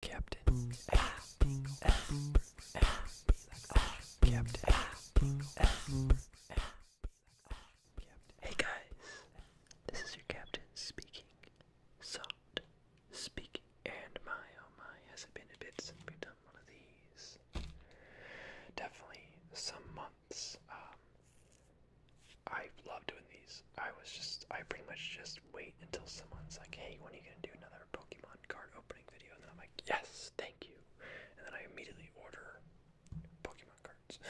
Captain Hey guys, this is your captain speaking. Soft speaking. And my oh my, has it been a bit since we've done one of these? Definitely some months. Um, I love doing these. I was just, I pretty much just wait until someone's like, hey, when are you going to do another Pokemon card opening video? And then I'm like, yes, thank you. And then I immediately order Pokemon cards.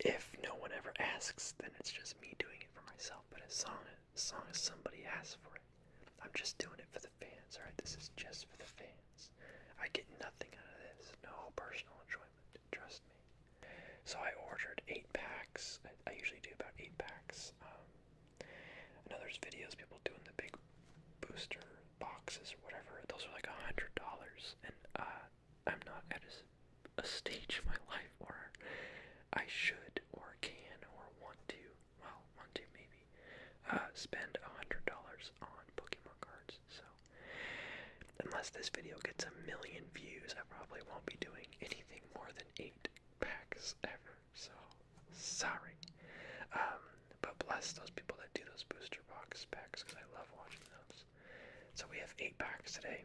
if no one ever asks, then it's just me doing it for myself. But as long as, long as somebody asks for it, I'm just doing it for the fans, alright? This is just for the fans. I get nothing out of this. No personal enjoyment. Trust me. So I ordered eight packs. I, usually do about eight packs. Um, I know there's videos people doing the big booster boxes or whatever. Those are like a hundred dollars, and uh, I'm not at a, stage in my life where I should or can or want to. Well, want to maybe uh, spend a hundred dollars on Pokemon cards. So unless this video gets a million views, I probably won't be doing anything more than eight packs ever. So sorry. Um, but bless those people that do those booster box packs because I love watching those. So we have eight packs today,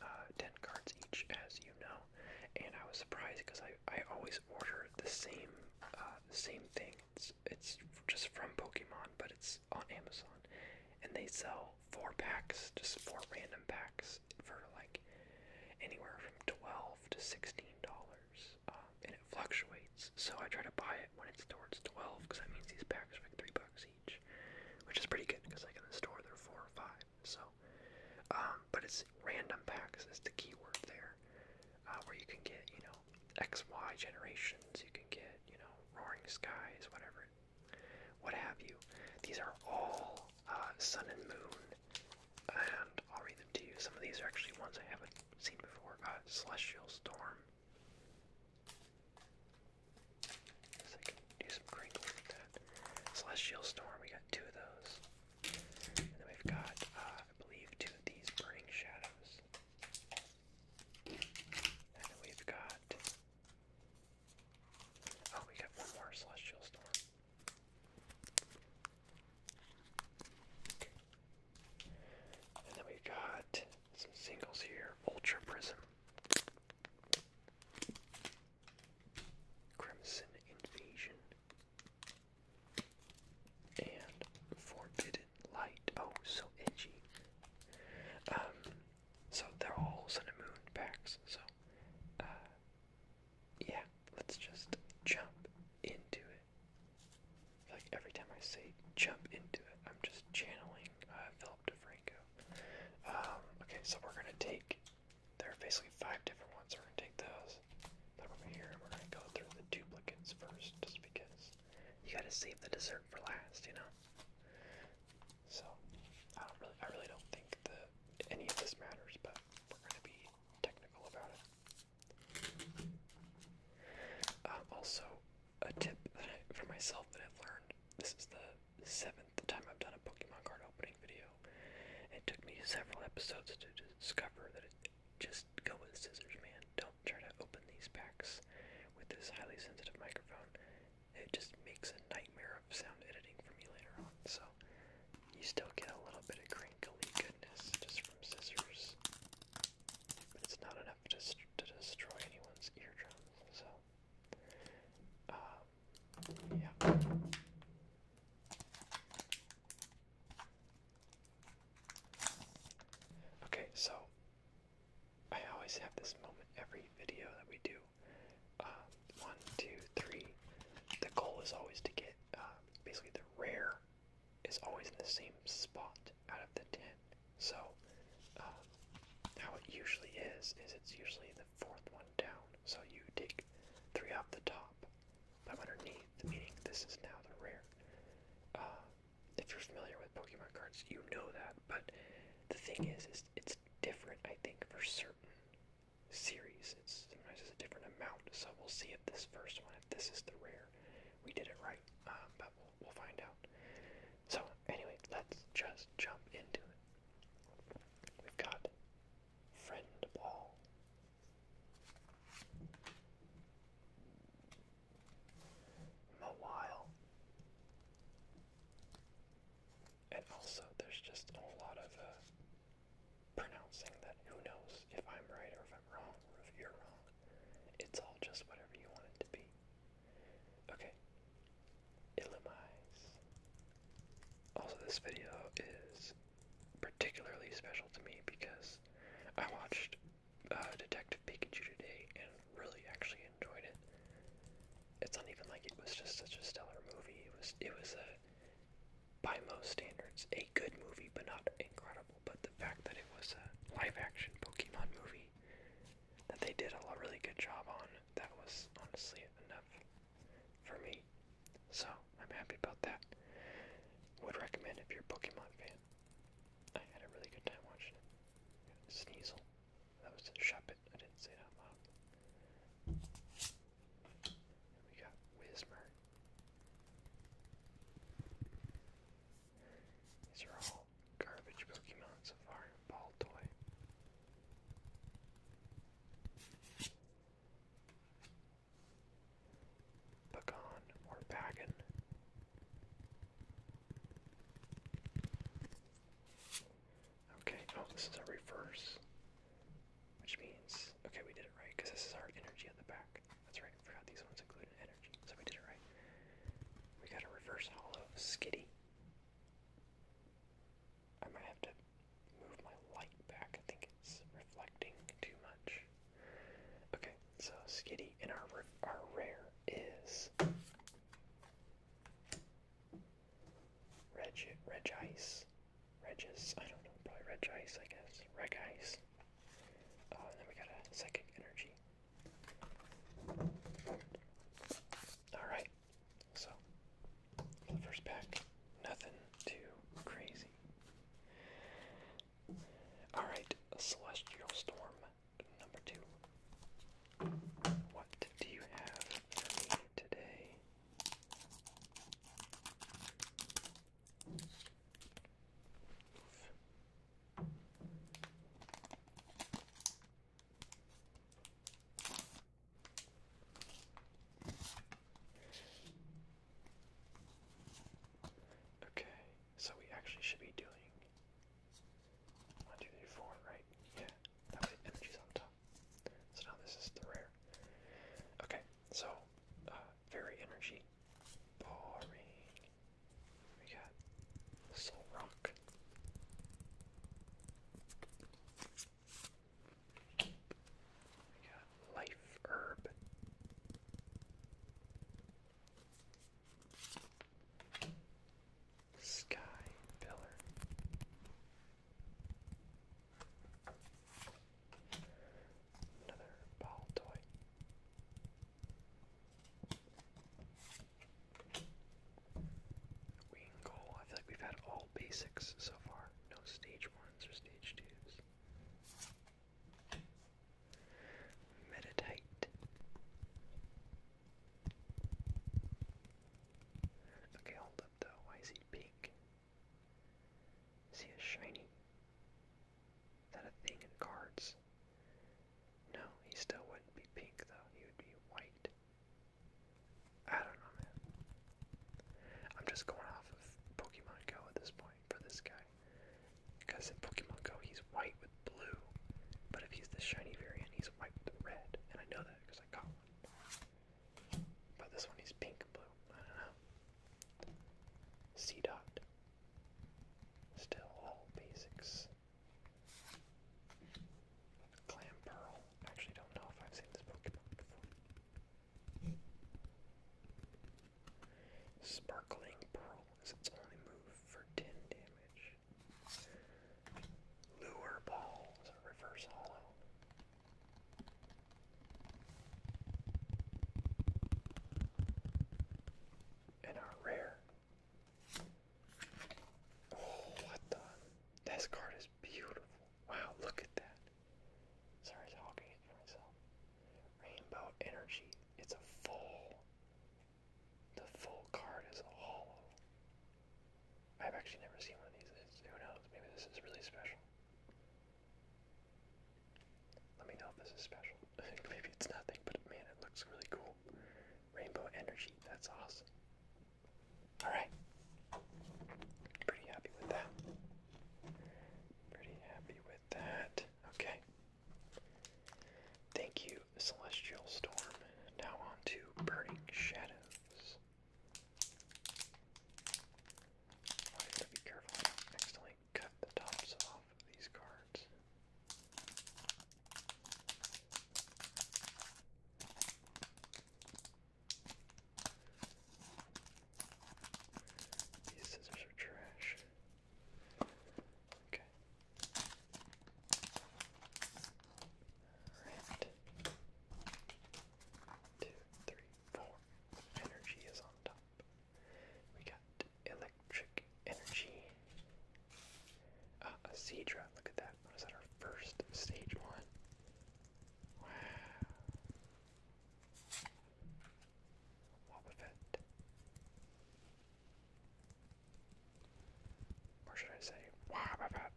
uh, ten cards each, as you know. And I was surprised because I, I always order the same uh, same thing. it's just from Pokemon, but it's on Amazon, and they sell four packs, just four random packs for like anywhere from twelve to sixteen dollars, um, and it fluctuates. So I try to buy it when it's towards twelve because that means these packs are like three bucks each, which is pretty good because like in the store they're four or five. So, um, but it's random packs is the key word there, uh, where you can get you know X Y generations, you can get you know Roaring Skies, whatever what have you. These are all uh, Sun and Moon, and I'll read them to you. Some of these are actually ones I haven't seen before. Uh, celestial Storm. So I do some crinkles Celestial Storm, we got two of those. And then we've got, uh, I believe, two of these Burning Shadows. And we've got Oh, we got one more celestial storm. And then we got some singles here. Ultra Prism. Crimson Invasion. And Forbidden Light. Oh, so edgy. Um, so they're all sun and moon packs. So, uh, yeah, let's just jump into it. Like every time I say jump into it, I'm just channeling uh, Philip DeFranco. Um, okay, so we're gonna take. There are basically five different ones. So we're gonna take those, put them over here, and we're gonna go through the duplicates first, just because you gotta save the dessert for last, you know. So I don't really, I really don't think that any of this matters, but we're going to be technical about it. Um, also, a tip that I, for myself that I've learned. This is the seventh time I've done a Pokemon card opening video. It took me several episodes to discover that it just go with scissors, man. Don't try to open these packs with this highly sensitive microphone it just makes a nightmare of sound editing for me later on. So you still get a little bit of crinkly goodness just from scissors, but it's not enough to, to destroy anyone's eardrum. So um, yeah. Okay, so I always have this moment every video that we do uh, one, two, three. The goal is always to get uh, basically the rare is always in the same spot out of the ten. So uh, how it usually is is it's usually the fourth one down. So you take three off the top from underneath, meaning this is now the rare. if you're familiar with Pokemon cards, you know that. But the thing is, is it's different. I think for certain series. It's it's a different amount, so we'll see if this first one, if this is the rare, we did it right, um, but we'll, we'll find out. So anyway, let's just jump into it. We've got friend ball. Mawile and also there's just a lot of uh, pronouncing that who knows if I'm right or if I'm wrong or if you're wrong. It's all just whatever you want it to be. Okay. Illumise. Also, this video is particularly special to me because I watched uh, Detective Pikachu today and really actually enjoyed it it's not even like it was just such a stellar movie. It was it was a by most standards a good movie, but not incredible. But the fact that it was a live action Pokemon movie that they did a really good job on, that was honestly enough for me. So I'm happy about that. Would recommend if you're a Pokemon fan. I had a really good time watching it. Sneasel. That was shop it. I didn't say that out loud. we got Wismer. These are all garbage Pokemon so far. Ball toy. Bagon or Baggin. Okay, oh, this is a reverse. Which means, okay, we did it right, because this is our energy at the back. That's right, forgot these ones included energy, so we did it right. We got a reverse hollow skitty. I might have to move my light back. I think it's reflecting too much. Okay, so Skitty and our our rare is Reg, Reg Ice, Regis, I don't know, probably Reg Ice, I guess, Reg Ice. Uh, and then we got Psychic Energy. Alright, so, first pack, nothing too crazy. Alright, Celestial Storm, number two. What do you have for me today? Okay, so we actually should be doing one, two, three, four, right? Yeah. That way energy's on So now this is the rare. Okay, so uh, very energy. We got Soul Rock. We got Life Herb. Sky Pillar. Another ball toy. We I feel like we've had all basics so far. No stage ones or stage twos. Meditite. Okay, hold though. is he pink? Is he a shiny? Is that a thing in cards? No, he still wouldn't be pink though. He would be white. I don't know, man. I'm just going off of Pokemon Go at this point for this guy. Because in Pokemon Go, he's white with blue. But if he's the shiny variant, he's white with red. And I know that because I got one. But this one he's pink blue. I don't know. C dot. Still all basics. Clam Pearl. Actually don't know if I've seen this Pokemon before. Sparkling Pearl is its only move for 10 damage. Lure Ball reverse hollow and are rare. Oh, what the? This card is beautiful. Wow, look at that. Sorry, hogging it for myself. Rainbow Energy. It's a full. The full card is hollow. I've actually never seen one of these. It's, who knows? Maybe this is really special. Let me know if this is special. Maybe it's nothing, but man, it looks really cool. Rainbow energy. That's awesome. All right. Pretty happy with that. Pretty happy with that. Okay. Thank you, Celestial Storm. Now on to Burning Shadows. I have to be careful. accidentally cut the tops off these cards. These scissors are trash. Okay. Alright two, three, four. Energy is on top. We got electric energy. Uh, a Seedra, look at that. What is our first stage one? Wow. Wobbuffet. Or should I say, Wobbuffet?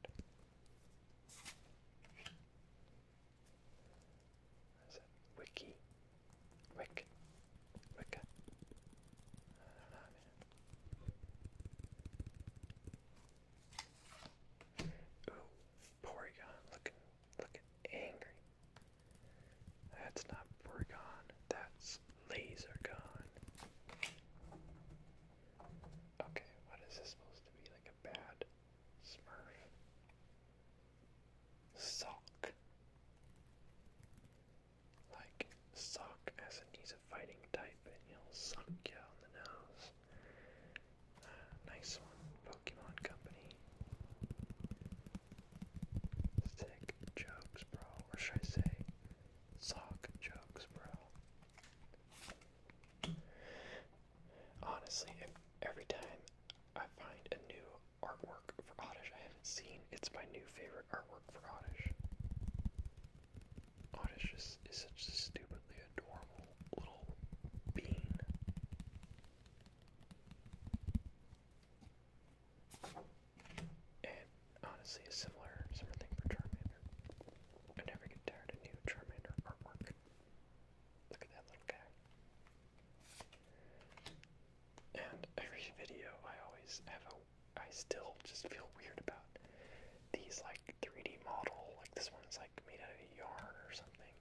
Is it wiki? Wick? Wicca? I looking, looking angry. That's not Porygon, that's Lasergon. Okay, what is this supposed to be? Like a bad Smurf. Sock. Like, sock as in he's a fighting type and he'll suck you on the nose. Uh, nice one, Pokemon Company. Sick jokes, bro. Or should I say, sock jokes, bro? Honestly, every time I find a new artwork for Oddish I haven't seen, it's my new favorite artwork for Oddish. Oddish is, is such a stupidly adorable little bean. And honestly, a similar sort thing for Charmander. I never get tired of new Charmander artwork. Look, at that little guy. And every video, I always have a. I still just feel weird about these like 3D model. Like this one's like made out of yarn or something.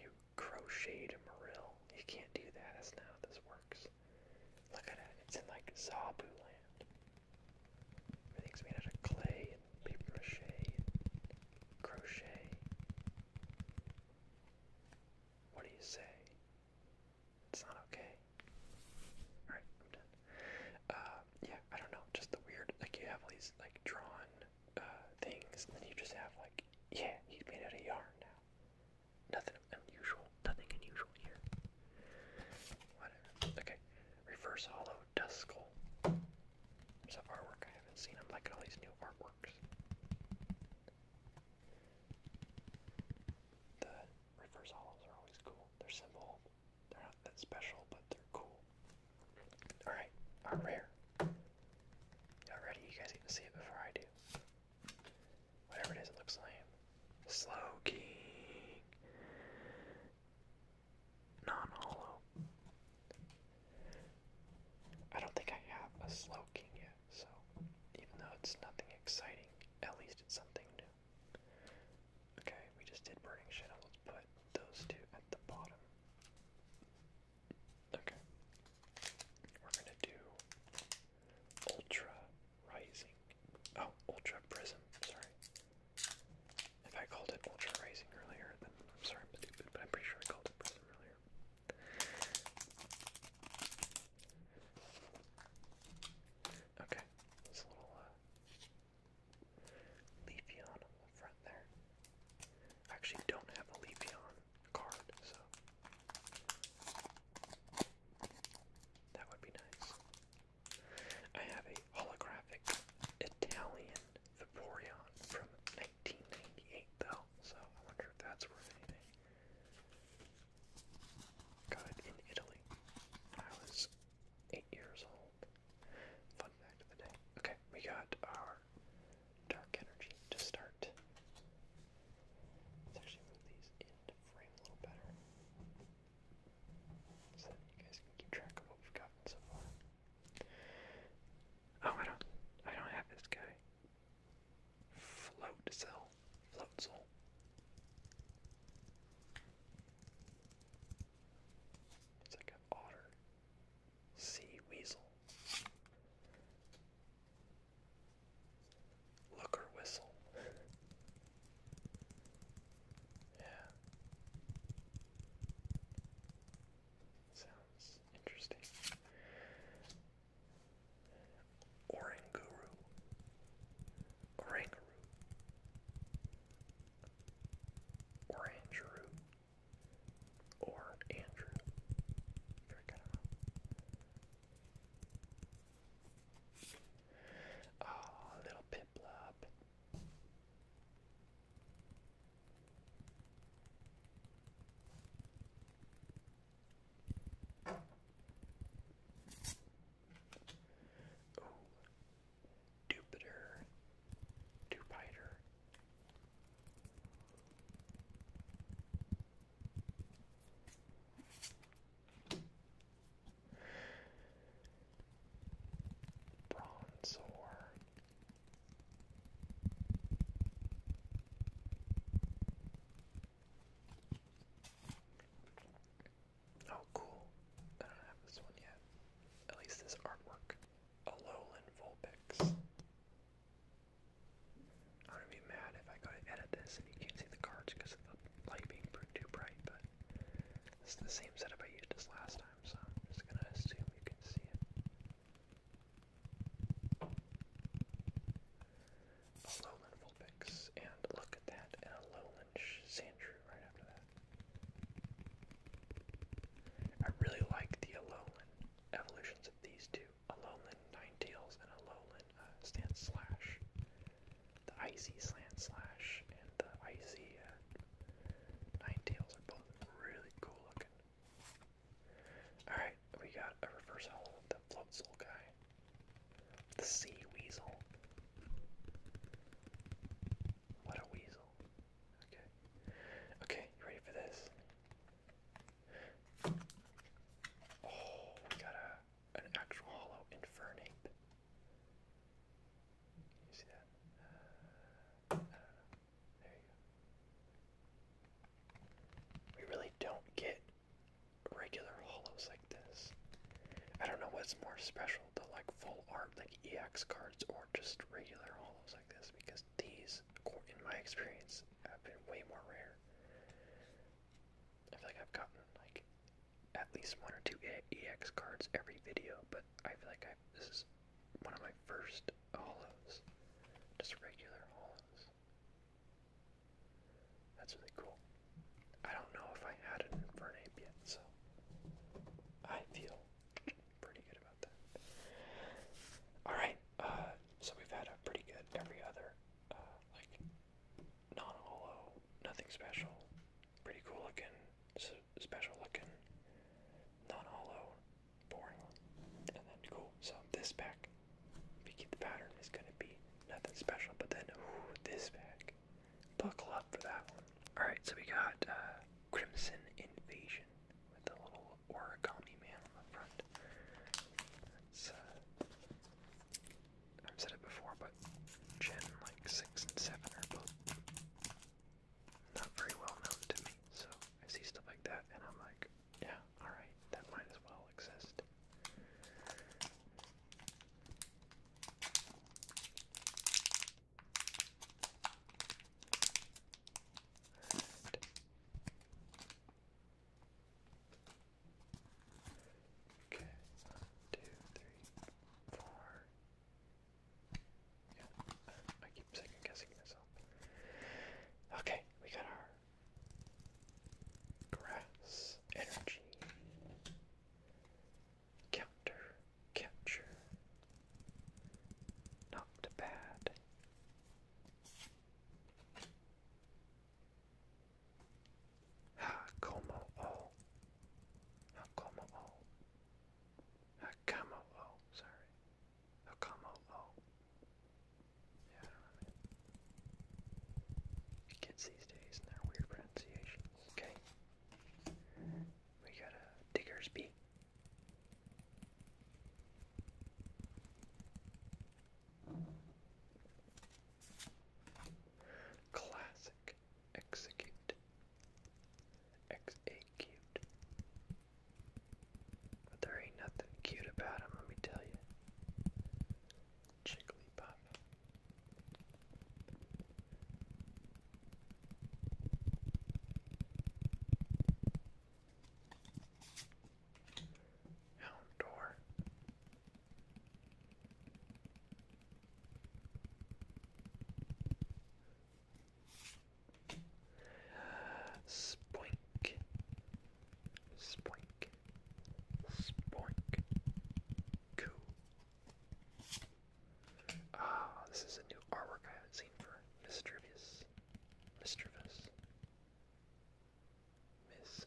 You crocheted a morel. You can't do that. That's not how this works. Look at it. It's in like Zabu land. Everything's made out of clay and paper mache and crochet. What do you say? It's not okay. Alright, I'm done. Uh, yeah, I don't know. Just the weird, like, you have these, like, drawn uh, things, and then you just have, like, yeah, he's made out of yarn now. Nothing unusual. Nothing unusual here. Whatever. Okay. Reverse hollow Duskull. Some artwork I haven't seen. I'm liking all these new artworks. The reverse hollows are always cool. They're simple. They're not that special, but they're cool. Alright, our rare. Y'all ready? You guys get to see it before I do. Whatever it is, it looks lame. Slow King non-hollow. I don't think I have a slow king yet, so even though it's nothing exciting, at least it's something new. Okay, we just did Burning Shadow. Let's put those two at the bottom. Okay. We're gonna do Ultra Rising. Oh, Ultra Prism, sorry. If I called it Ultra Rising earlier, then I'm sorry I'm stupid, but I'm pretty sure I called it Prism earlier. Okay, this little uh, Leafeon on the front there. actually don't have a Leafeon card, so that would be nice. I have a holographic Italian the Vaporeon from 1998, though, so I wonder if that's worth anything. Got it in Italy. I was eight years old. Fun fact of the day. Okay, we got our dark energy to start. Let's actually move these into frame a little better. So you guys can keep track of what we've gotten so far. Oh, I don't, I don't have this guy. Float cell, It's like an otter, sea weasel. Look whistle. Yeah. Sounds interesting. Oranguru. Oranguru. Or Or Andrew. Freaking out. Oh, ah, little Piplup. Oh, Jupiter, Jupiter bronze Oh, cool. I don't have this one yet. At least this artwork. Alolan Vulpix. I'm gonna be mad if I go to edit this and you can't see the cards because the light being too bright, but it's the same setup I used as last time i A lowland Vulpix, and look at that, and a lowland right after that. I really like the Alolan evolutions of these two. nine tails and Alolan uh, Slash. The Icy Slant Slash and the Icy uh, Ninetales are both really cool looking. Alright, we got a reverse hollow the float guy. The sea weasel. What a weasel. Okay. Okay, you ready for this? Oh, we got a an actual hollow infernape. you see that? Uh, there you go. We really don't get regular hollows like this. I don't know what's more special, the like full art like EX cards or just regular hollows like this because these, in my experience, have been way more rare. I feel like I've gotten like at least one or two EX cards every video, but I feel like i this is one of my first hollows. Just regular hollows. That's really cool. I don't know if I had an Infernape yet, so I feel pretty good about that. Alright, uh, so we've had a pretty good every other, uh, like, non-holo, nothing special, pretty cool looking, special looking, not hollow boring, and then cool. So this pack, if you keep the pattern, is gonna be nothing special. But then, ooh, this pack, buckle up for that one. All right, so we got uh, Crimson Invasion with the little origami man on the front. It's, uh, I've said it before, but Gen like six and seven are both not very well known to me. So I see stuff like that and I'm like, yeah, alright, that might as well exist. Okay, one, two, three, four, I keep second guessing myself. Okay, we got our grass energy counter capture. Not bad. Ah, como all. como all. Akamo'o, sorry. Akamo'o. Yeah, I don't know. kids these days and their weird pronunciation. Okay. We got a digger's beak. Classic execute. X8 cute. But there ain't nothing cute about him, let me tell you. Jigglypuff. Houndour. Spoink. Spoink. Spoink. Goo. Ah, this is a new artwork I haven't seen for Mischievous. Mischievous. Miss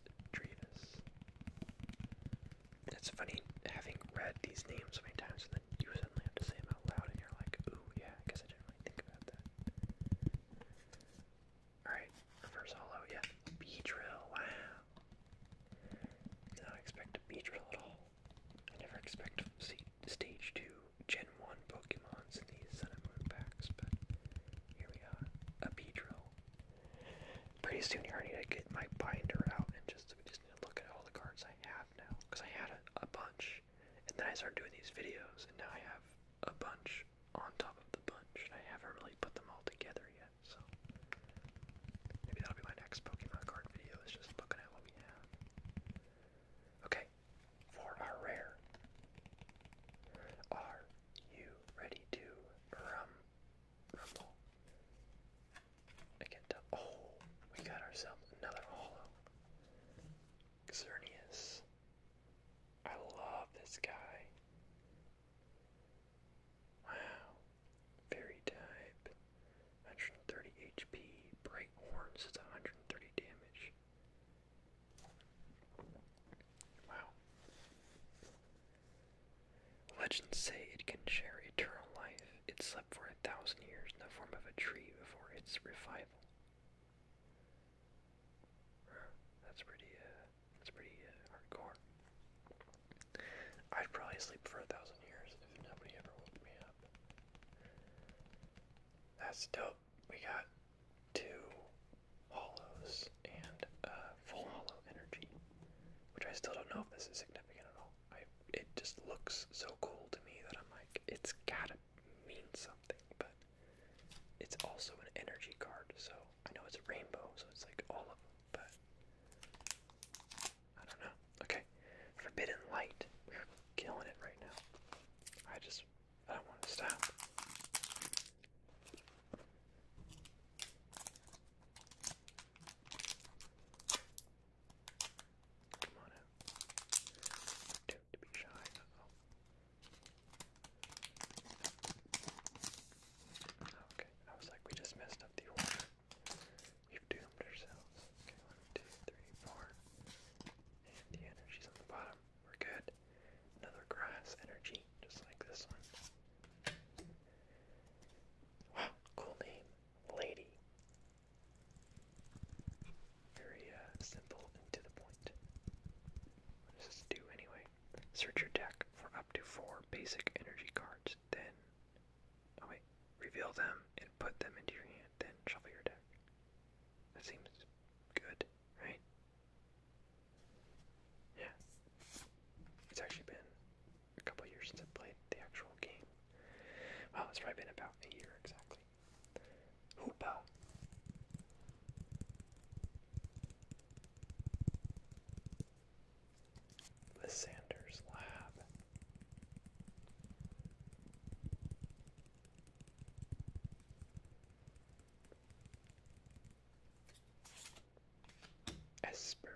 It's funny having read these names many times you suddenly have to say them out loud, and you're like, ooh, yeah, I I didn't really think about that. Alright, reverse hollow, yeah. Beedrill, wow. Did not expect a Beedrill at all. I never expect Stage 2 Gen 1 Pokemons in these Sun and Moon packs, but here we are. A Beedrill. Pretty soon here I need to get my binder out and just, just look at all the cards I have now. Because I had a bunch and then I started doing these videos, and now I have a bunch on top of the bunch. I haven't really put them all together yet, so maybe that'll be my next Pokemon card video. Is just looking at what we have. Okay, for our rare, are you ready to rumble? I can't Oh, we got ourselves another hollow. Xerneas. I love this guy. Wow. Fairy type. 130 HP. Bright horns is 130 damage. Wow. Legends say it can share eternal life. Its for a thousand years in the form of a tree before its revival. That's pretty, uh, that's pretty uh, hardcore. I'd probably sleep for a thousand years if nobody ever woke me up. That's dope. We got two hollows and full hollow energy, which I still don't know if this is significant at all. I it just looks so cool to me that I'm like, it's gotta be means something, but it's also an energy card, so I know it's a rainbow, so it's like all of them, but I don't know. Okay, Forbidden Light. killing it right now. I just, I don't want to stop. Come on out to be shy. Okay, I was like, we just messed up the order. We've doomed ourselves. Okay, one, two, three, four. And the energy's on the bottom. We're good. Another grass energy, just like this one. Wow, cool name. Lady. Very uh, simple and to the point. What do anyway? Search your deck for up to four basic energy cards, then. Oh wait. Reveal them and put them into your hand, then shuffle your deck. That seems good, right? Yeah. It's actually been a couple years since I played the actual game. Well, it's probably been about a year exactly. Hoopa. Sanders Lab. Esper.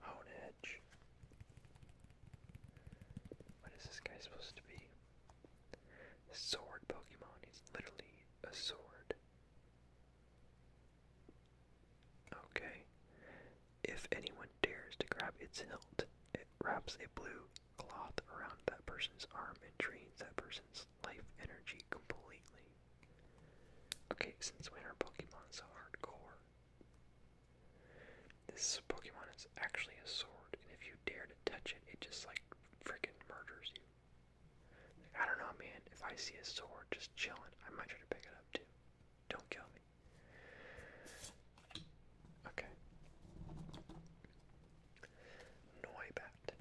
Hone edge. What is this guy supposed to be? Sword Pokemon. He's literally a sword. Okay. If anyone dares to grab its hilt, it wraps a blue cloth around that person's arm and drains that person's life energy completely. Okay, since when are Pokemon so hardcore? This Pokemon is actually a sword, and if you dare to touch it, it just like freaking murders you. I don't know, man. If I see a sword just chilling, I might try to pick it up too. Don't kill me. Okay. Noibat.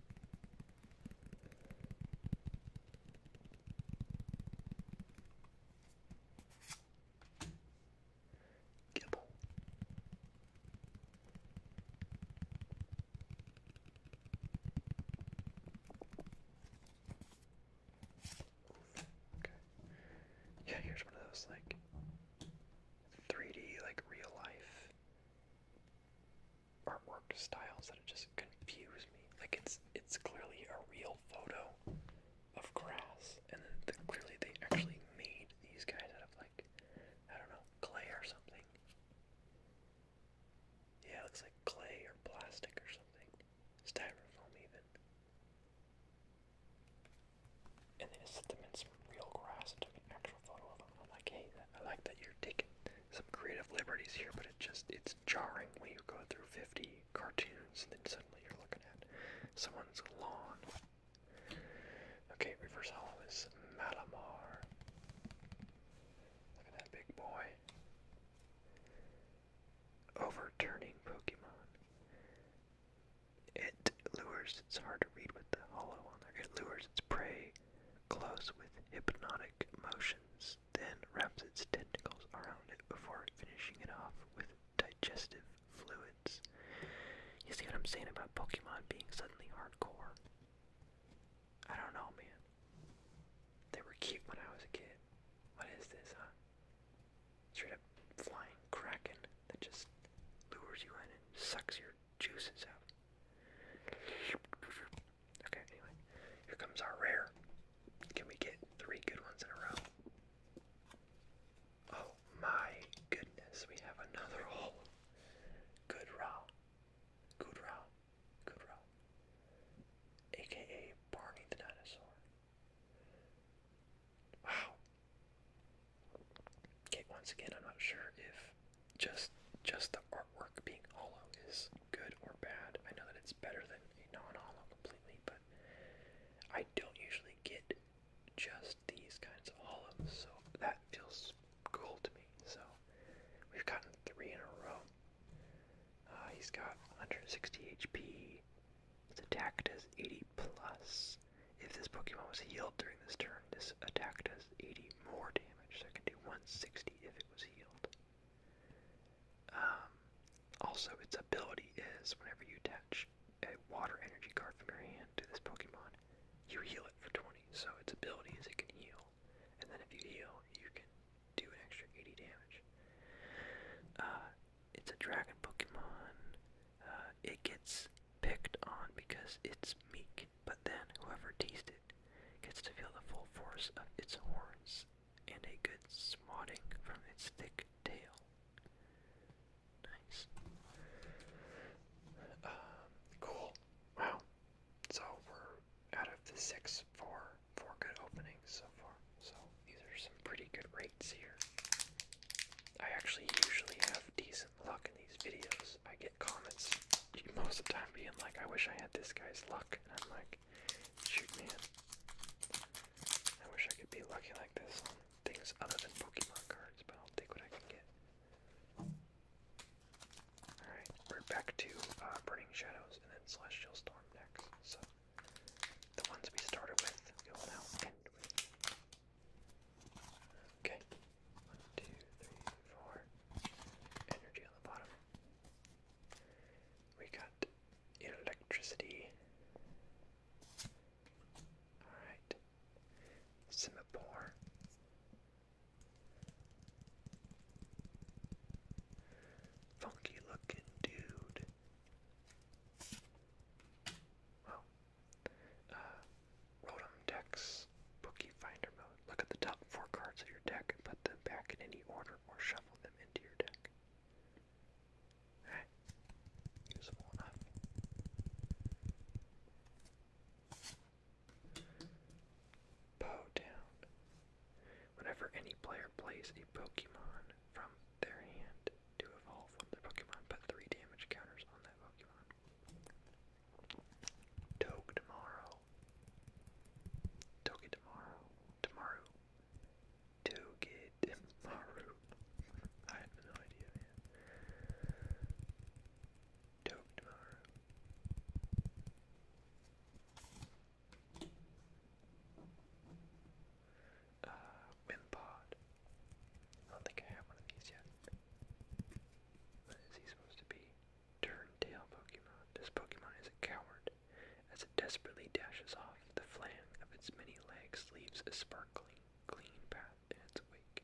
Gibble. Okay. Yeah, here's one of those like 3D, like real life artwork styles that just confuse me. Like it's it's clearly a real photo of grass, and then the, clearly they actually made these guys out of like I don't know clay or something. Yeah, looks like clay or plastic or something, styrofoam even. And they just set them in some real grass and took an actual photo of them. like, hey, I like that you're taking some creative liberties here, but it just it's jarring when you go through 50 cartoons and then suddenly you're looking at someone's lawn. Okay, reverse hollow is Malamar. Look at that big boy. Overturning Pokemon. It lures, it's hard to read with the hollow on there. It lures its prey close with hypnotic motions then wraps its tentacles around it before finishing it off with digestive fluids. You see what I'm saying about Pokemon being suddenly hardcore? I don't know, man. They were cute when I was a kid. What is this, huh? Straight up flying kraken that just lures you in and sucks your juices out. Okay, anyway. Here comes our rare. Can we get three good ones in a row? Oh my goodness, we have another hole. Good raw. Good raw. Good raw. AKA Barney the Dinosaur. Wow. Okay, once again I'm not sure if just just the artwork being hollow is good or bad. I know that it's better than non-hollow completely, but I don't usually get just these kinds of hollows, so that feels cool to me. So we've gotten three in a row. Uh, he's got 160 HP. His attack does 80 plus. If this Pokemon was healed during this turn, this attack does 80 more damage, so I can do 160 if it was healed. Um, also, its ability is whenever you attach a water energy card from your hand to this Pokemon, you heal it for 20. So, its ability is it can heal, and then if you heal, you can do an extra 80 damage. Uh, it's a dragon Pokemon. Uh, it gets picked on because it's meek, but then whoever teased it gets to feel the full force of its horns and a good smotting from its thick tail. Nice. Um, cool. Wow. So we're out of the six good openings so far. So these are some pretty good rates here. I actually usually have decent luck in these videos. I get comments most of the time being like, I wish I had this guy's luck. And I'm like, like, shoot I wish I could be lucky like this on things other than Pokemon cards, but I'll take what I can get. Alright, we're back to uh, Burning Shadows and then Celestial Storm next. So, the ones we started with, we now end with. Okay. One, two, three, four. Energy on the bottom. We got electricity. Alright. Singapore. Funky looking dude. Well, uh, Rotom decks, Bookie Finder mode. Look at the top four cards of your deck and put them back in any order or shuffle them into your deck. Alright, useful down. Whenever any player plays a Pokemon from their hand to evolve one their Pokemon, put three damage counters on that Pokemon. Togue tomorrow. Togedemaru. Tomorrow. Togedemaru. I have no idea, man. Togedemaru. Uh, Wimpod. I don't think I have one of these yet. What is he supposed to be? Turntail Pokemon. This Pokemon is a coward, as it desperately dashes off. The flang of its many legs leaves a sparkling, clean path in its wake.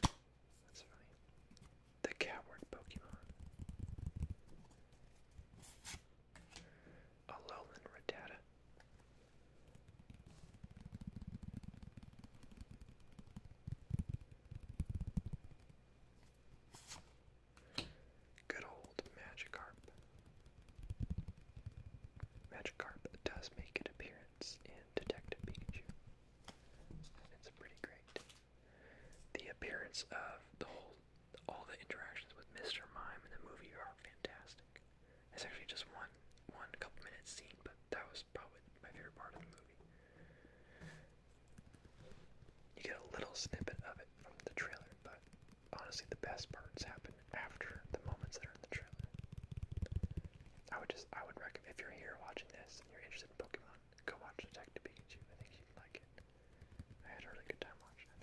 That's funny. The coward Pokemon. A lowland Good old Magikarp. Magikarp does make an appearance in Detective Pikachu. It's pretty great. The appearance of the whole, all the interactions with Mr. Mime in the movie are fantastic. It's actually just one, one couple minute scene, but that was probably my favorite part of the movie. You get a little snippet of it from the trailer, but honestly, the best parts happen after the moments that are in the trailer. I would just, I would recommend if you're here watching this and you're interested in Pokemon, go watch Detective Pikachu. I think you'd like it. I had a really good time watching it.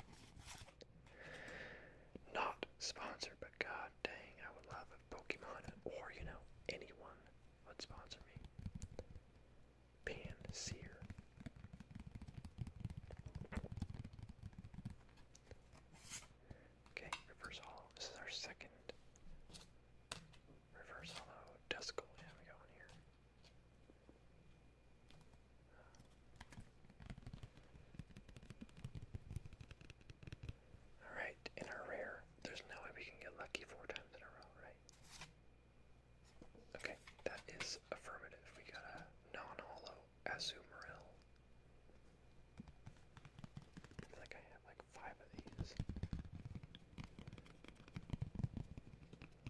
Not sponsored, but god dang, I would love if Pokemon or you know anyone would sponsor me pan Okay, reverse hollow. This is our second reverse hollow Duskull. Yeah, we got one here. Alright, in our rare, there's no way we can get lucky four times in a row, right? Okay, that is affirmative. We got a non-holo Azumarill. I like I have like five of these.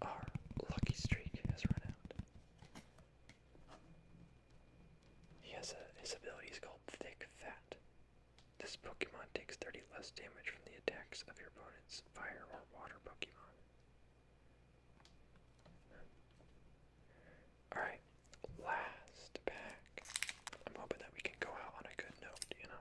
Our lucky streak has run out. He has a his ability is called Thick Fat. This Pokemon takes 30 less damage from the attacks of your opponent's fire or water Pokemon. Alright, last pack. I'm hoping that we can go out on a good note, you know?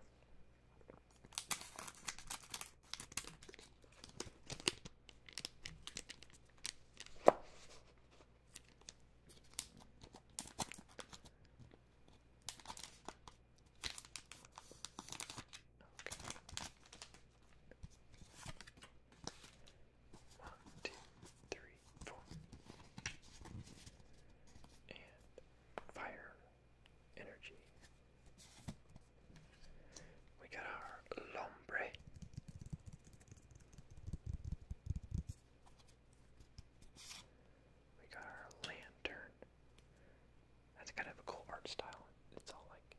One, two, three, four. And fire energy. We got our Lombre. We got our Lantern. That's kind of a cool art style. It's all like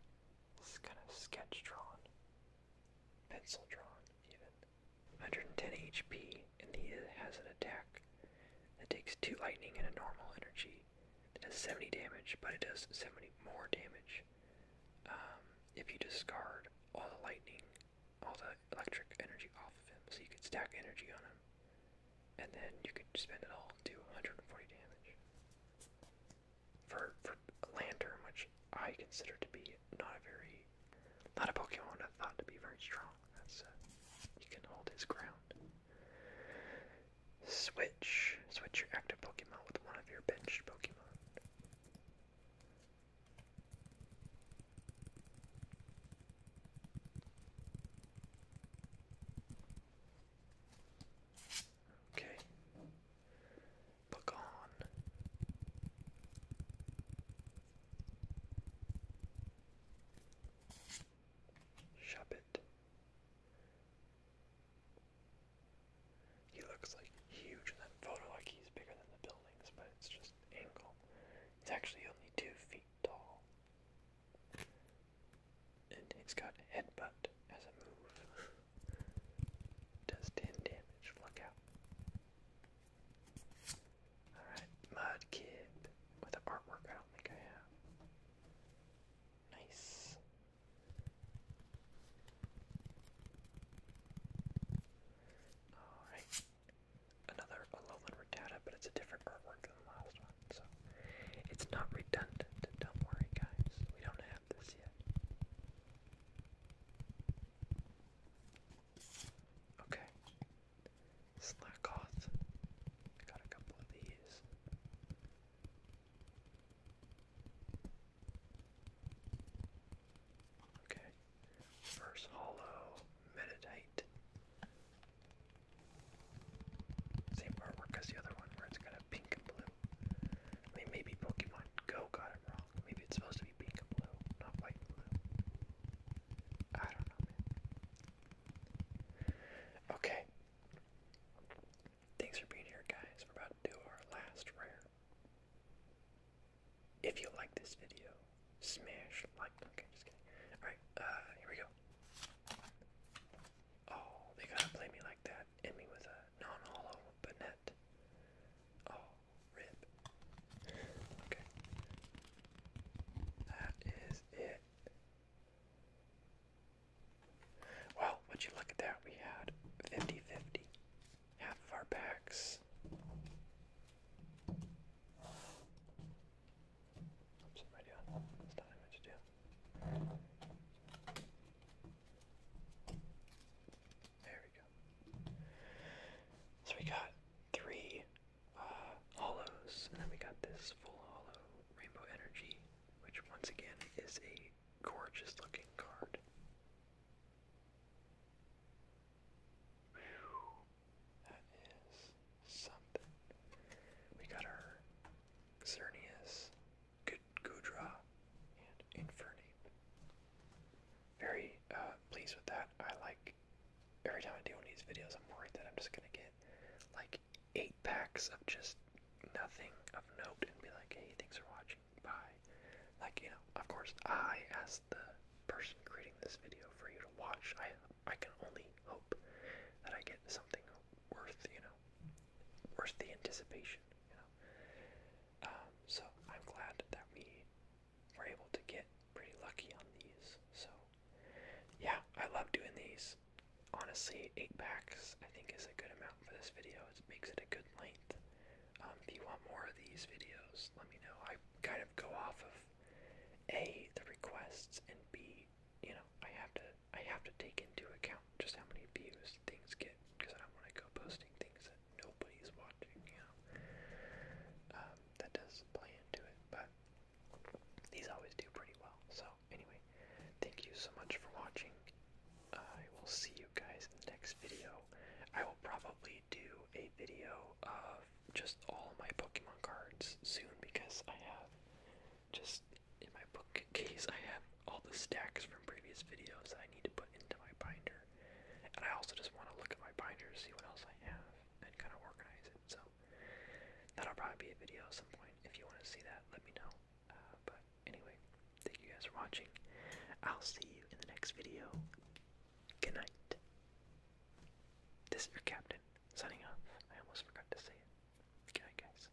it's kind of sketch drawn, pencil drawn, even. 110 HP, and he has an attack that takes two lightning and a normal energy. That does 70 damage, but it does 70 more damage um, if you discard all the lightning, all the electric energy off of him. So you can stack energy on him, and then you could spend it all to 140 damage for for Lantern, which I consider to be not a very not a Pokemon I thought to be very strong. he uh, can hold his ground. Switch, switch your active Pokemon with one of your benched Pokemon. Okay. Look on. Shove it. He looks like huge in that photo, like he's bigger than the buildings, but it's just ankle. It's actually only two feet tall and he's got headbutt as a move. Does 10 damage, look out. Alright, Mudkip with the artwork I don't think I have. Nice. Alright. Another Alolan Rattata, but it's a different artwork than the last one. So it's not redundant. Don't worry, guys. We don't have this yet. Okay. Slackoth. Got a couple of these. Okay. First hollow meditate. Same artwork as the other one where it's kind of pink and blue. I mean, maybe Pokemon Go got it wrong. Maybe it's supposed to be pink and blue, not white and blue. I don't know, Okay. Thanks for being here, guys. We're about to do our last rare. If you like this video, smash like. Okay, just kidding. Alright, uh, here we go. Oh, they gotta play me like that. Hit me with a non-hollow Bennett. Oh, rip. Okay. That is it. Well, would you look at that? We had 50 Half of our packs. Oops, am I doing? That's not what I meant there we go. So we got three uh, hollows, and then we got this full hollow Rainbow Energy, which once again is a gorgeous looking card. that is something. We got our Xerneas Gudra, and Inferni. Very uh, pleased with that. I like every time I do one of these videos, I'm worried that I'm just gonna get like eight packs of just nothing of note and be like, hey, thanks for watching, bye. Like you know, of course, I as the person creating this video for you to watch, I I can only hope that I get something worth you know worth the anticipation, you know. Um, so I'm glad that we were able to get pretty lucky on these. So yeah, I love doing these. Honestly, eight packs I think is a good amount for this video. It makes it a good length. Um, if you want more of these videos, let me know. I kind of go off of a the requests and b you know I have to I have to take into account just how many views things get because I don't want to go posting things that nobody's watching, you know. Um, that does play into it, but these always do pretty well. So, anyway, thank you so much for watching. I will see you guys in the next video. I will probably do a video of just all my Pokemon cards soon because I have just in my bookcase I have all the stacks from previous videos that I need to put into my binder. And I also just want to look at my binder, see what else I have, and kind of organize it. So that'll probably be a video at some point. If you want to see that, let me know. Uh, but anyway, thank you guys for watching. I'll see you in the next video. Good night. This is your captain signing off. I almost forgot to say it. Good night, guys.